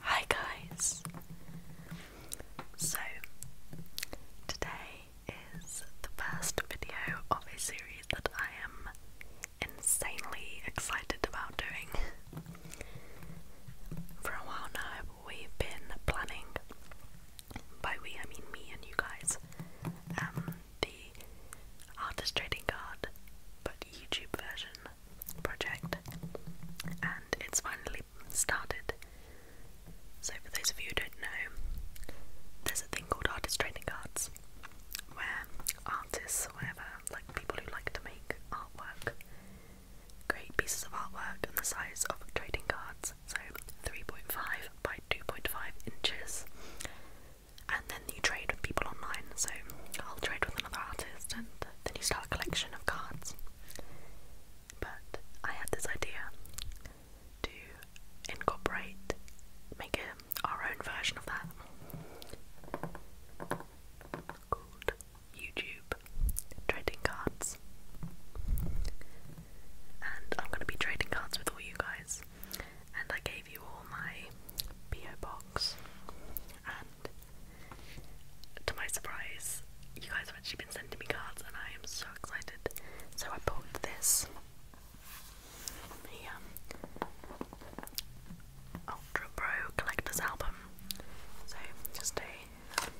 Hi guys! So, today is the first video of a series that I am insanely excited about doing. For a while now, we've been planning, by we I mean me and you guys, um, the artist trading card, but YouTube version project, and it's finally started. So, for those of you who don't know, there's a thing called artist trading cards where artists, or whatever, like people who like to make artwork, create pieces of artwork on the size of trading cards, so 3.5 by 2.5 inches. And then you trade with people online, so I'll trade with another artist and then you start a collection of cards. But I had this idea to incorporate, make our own version of that called YouTube Trading Cards. And I'm going to be trading cards with all you guys. And I gave you all my PO box and to my surprise, you guys have actually been sending me cards, and I am so excited. So I bought this the um, Ultra Pro Collector's Album. So just a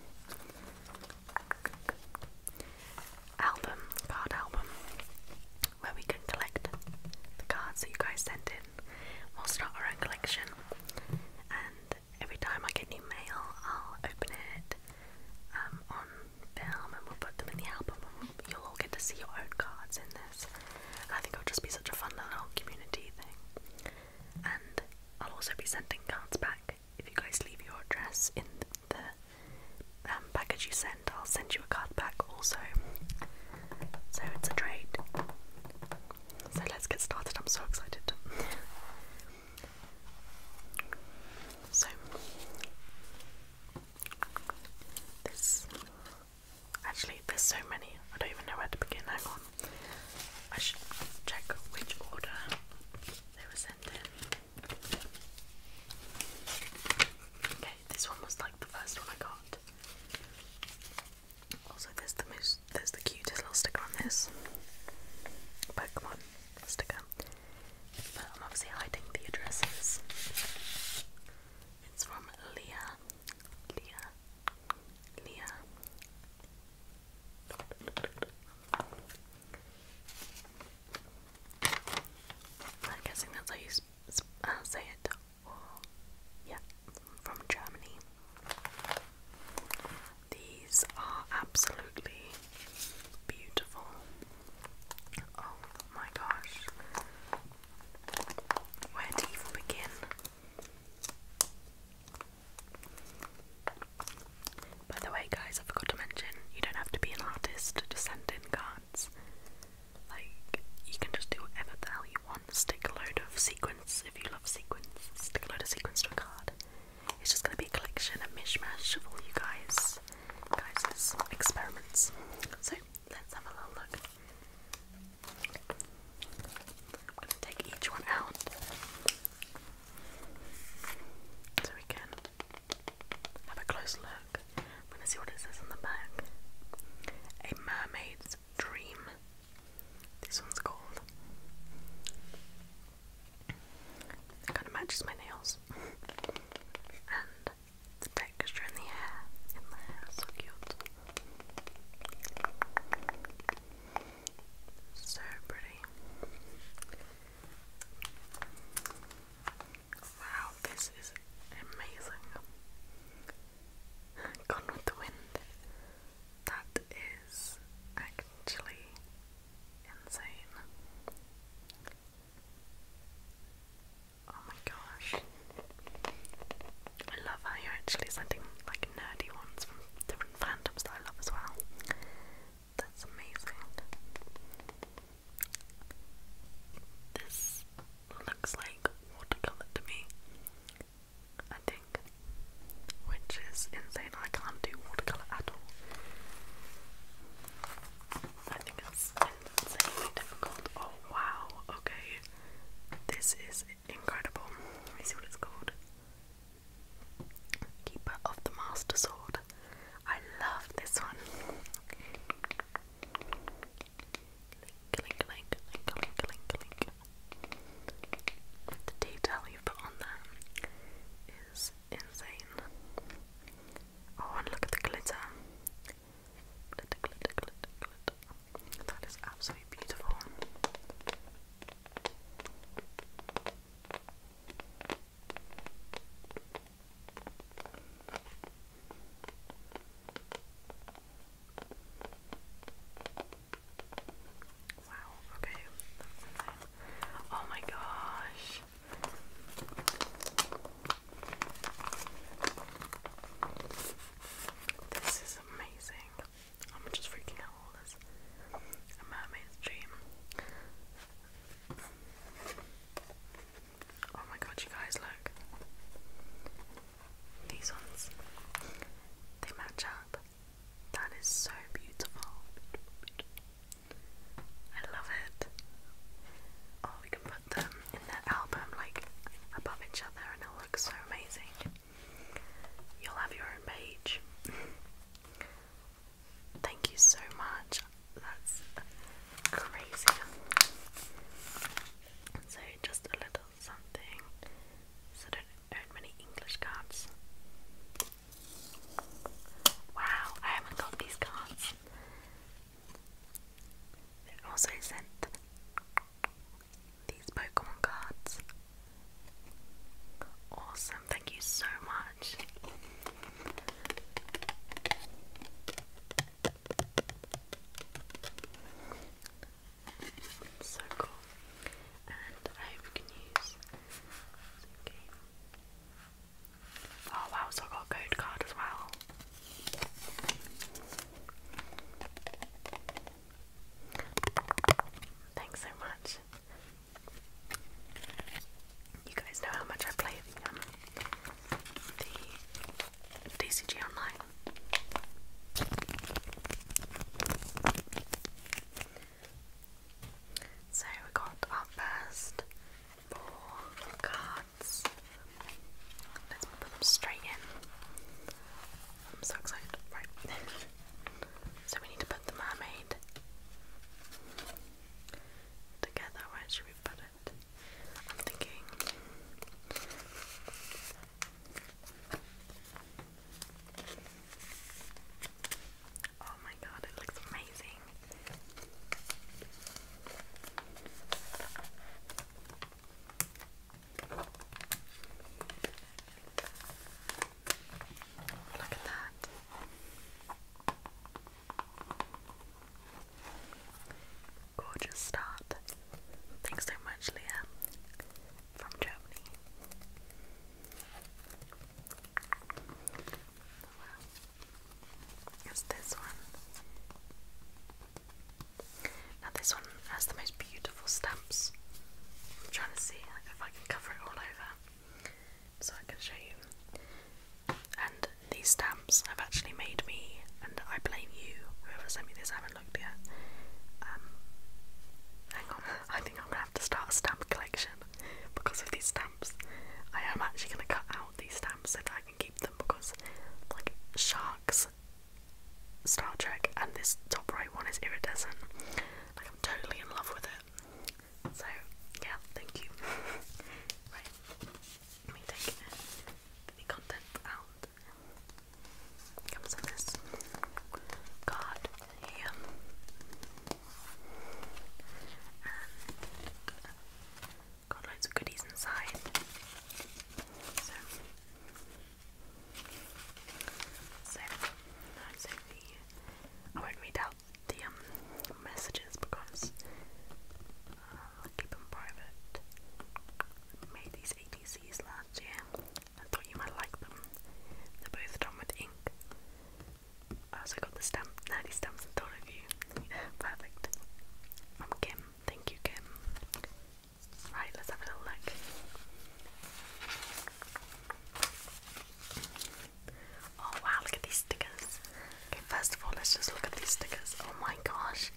album, card album, where we can collect the cards that you guys sent in. we'll start our own collection and every time I get new mail I'll open it um, on film and we'll put them in the album and we'll, you'll all get to see your own cards in this I think it'll just be such a fun little community thing and I'll also be sending cards back if you guys leave your address in the, um, package you send I'll send you a card back also so it's a trade so let's get started. I'm so excited. so this actually there's so many. I don't even know where to begin. Hang on. I should check which order they were sent in. Okay, this one was like the first one I got. Also, there's the most, there's the cutest little sticker on this Pokemon sticker. But I'm obviously hiding the addresses. It's from Leah, Leah, Leah. I'm guessing that's how you uh, say it yeah, from Germany. These are absolutely beautiful. Oh my gosh. Where to even begin? By the way, guys, I forgot to mention you don't have to be an artist to send in cards. Like, you can just do whatever the hell you want. Stick a load of sequins, if you love sequins, stick a load of sequins to a card. It's just gonna be a collection, a mishmash of all you guys, guys' experiments. So, let's have a little look. I'm gonna take each one out so we can have a close look. I'm gonna see what it says on the back. A mermaid's Dream. This one's called. It kind of matches my nails. and the texture in the hair. In the hair, so cute. So pretty. Wow, this is amazing. Gone with the Wind. That is actually insane. Oh my gosh. I love how you're actually sending like nerdy ones from different fandoms that I love as well. That's amazing. This looks like watercolor to me. I think. Which is insane. I can't do watercolor at all. I think it's insanely difficult. Oh wow, okay. This is incredible. Let me see what it's called. Keeper of the Master Sword. I love this one. The detail you put on there is insane. Oh, and look at the glitter. That is absolutely beautiful. Wow, okay. Oh my gosh. This is amazing. I'm just freaking out all this. A mermaid's dream. Oh my god, you guys, look. These ones. They match up. That is so beautiful. I love it. Oh, we can put them in the album like above each other and it'll so amazing. You'll have your own page. Thank you so much. That's crazy. So just a little something. So there aren't many English cards. Wow, I haven't got these cards. They also sent these Pokemon cards. Awesome, thank you so much. So cool. And I you can use Oh wow, so I got code card as well. Thanks so much. You guys know how much I play the DCG Online. So we got our first four cards. Let's put them straight in. I'm so excited. Right. so we need to put the mermaid together. Where should we put it? but I'm thinking Oh my god, it looks amazing. Look at that. Gorgeous start. Thanks so much, Leah, from Germany. Well, this one. Now, this one has the most beautiful stamps. I'm trying to see if I can cover it all over so I can show you. And these stamps have actually made me, and I blame you, whoever sent me this, I haven't looked yet. Um, hang on, I think I'm gonna have to start a stamp collection because of these stamps. I am actually gonna cut out these stamps so that I can keep them because, like, sharks, Star Trek, and this top right one is iridescent. Like, I'm totally in love with it. So, yeah, thank you. right. Let me take the content out. Comes in this card here. And got loads of goodies inside. So, so, the, I won't read out the um, messages because uh, keep them private. Made these ATCs last year and thought you might like them. They're both done with ink. I also got the stamp, nerdy stamps and thought of you. Perfect. I'm Kim. Thank you, Kim. Right, let's have a little look. Oh wow, look at these stickers. Okay, first of all, let's just look at these stickers. Oh my gosh,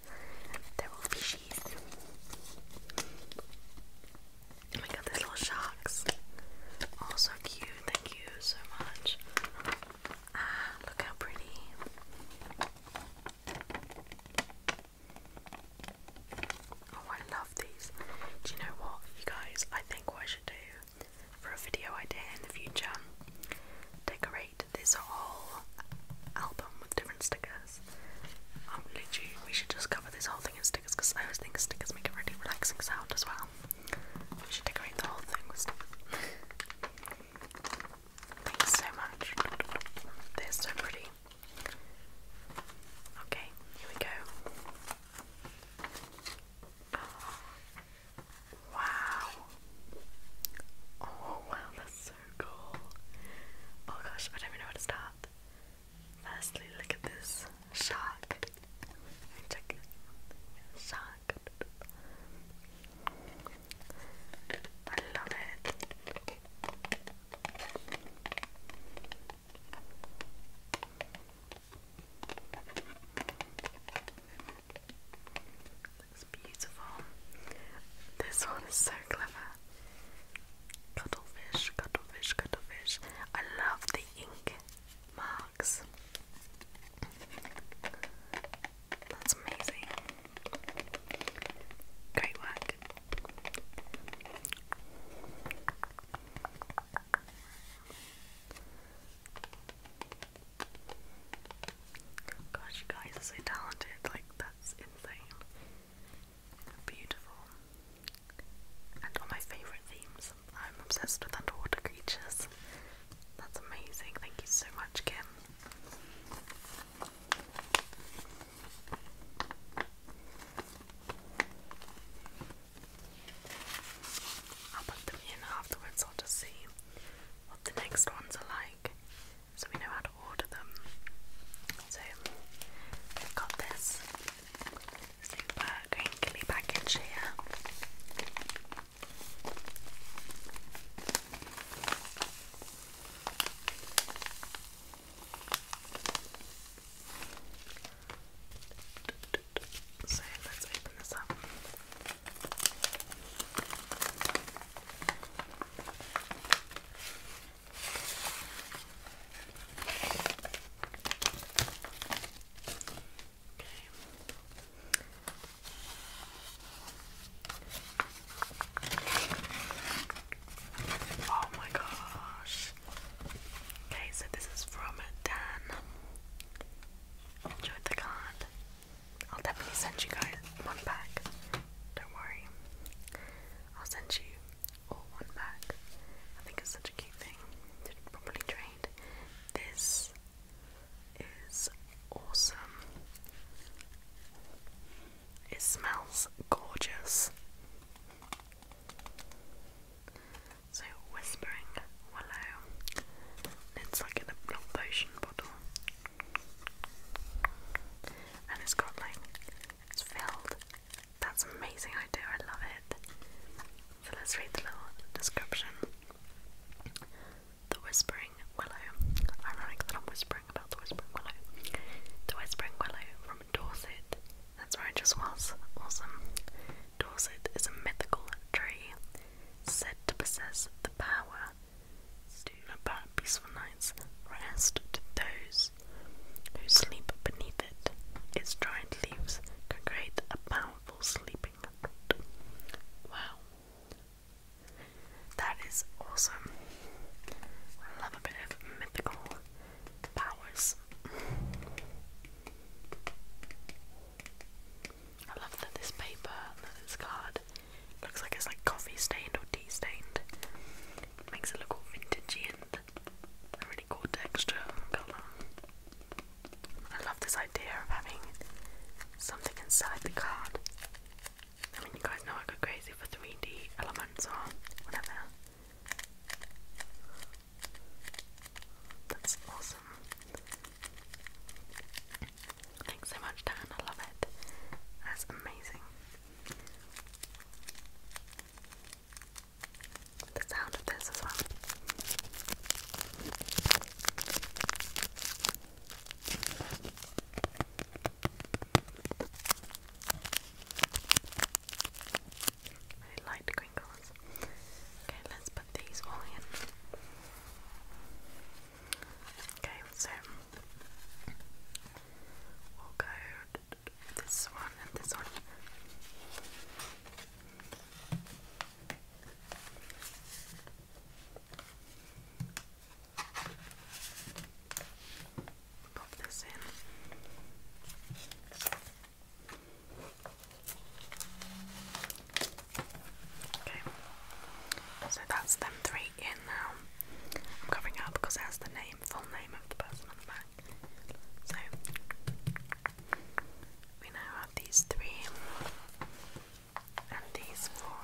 there will be fishies. Oh my god, little sharks. Oh, so cute. Thank you so much. Ah, look how pretty. Oh, I love these. Do you know what, you guys? I think I should do for a video idea in the future. Decorate this whole album with different stickers. Um, literally, we should just cover this whole thing in stickers because I always think stickers make a really relaxing sound as well. We should decorate the whole thing with stickers. Thanks so much. They're so pretty. Okay, here we go. Wow. Oh wow, that's so cool. Oh gosh, I don't even know where to start. Firstly, look at this shark. check it. Shark. I love it. Looks beautiful. This one is so clever. Cuttlefish, cuttlefish, cuttlefish. I love the ink marks. That's amazing. Great work. Gosh, you guys are so talented, like, that's insane. Beautiful. And all my favourite themes. I'm obsessed with underwater creatures. That's amazing. Thank you so much, Kim. I'll put them in afterwards, I'll just see what the next ones are like so we know how to order them. So we've got this super green package here. So let's open this up. Oh my gosh. Okay, so this is from Dan enjoyed the card. I'll definitely send you guys one back. Don't worry. I'll send you all one back. I think it's such a cute thing properly trade. This is awesome. It smells gorgeous. So whispering willow. It's like in a little potion bottle. And it's it's filled. That's amazing idea, I love it. So let's read the little description. The Whispering Willow. Ironic I'm whispering about the Whispering Willow. The Whispering Willow from Dorset. That's where I just was. Awesome. Dorset is a mythical tree said to possess the power to impart peaceful night's rest to those who sleep beneath it. Its dried leaves can create a powerful sleeping Wow. That is awesome. I love a bit of mythical powers. I love that this paper that this card looks like it's like coffee stained or tea stained. It makes it look all vintagey and a really cool texture and colour. Um, I love this idea of having something inside the card. I mean you guys know I go crazy for 3D elements or whatever. That's awesome. Thanks so much, Dan. I love it. That's amazing. The sound of this as well light green Okay, let's put these all in. Okay, so we'll go this one and this one. Pop this in. Okay, so that's them three in now. I'm covering up because it the name, full name of the person on the back. So we now have these three and these four.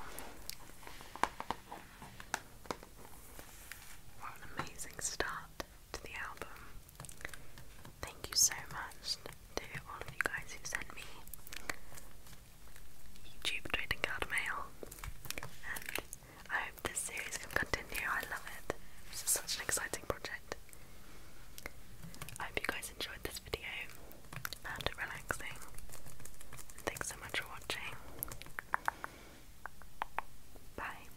What an amazing start to the album. Thank you so much to all of you guys who sent me YouTube, Twitter, card mail, I hope this series can continue. I love it. This is such an exciting project. I hope you guys enjoyed this video, found it relaxing, thanks so much for watching. Bye.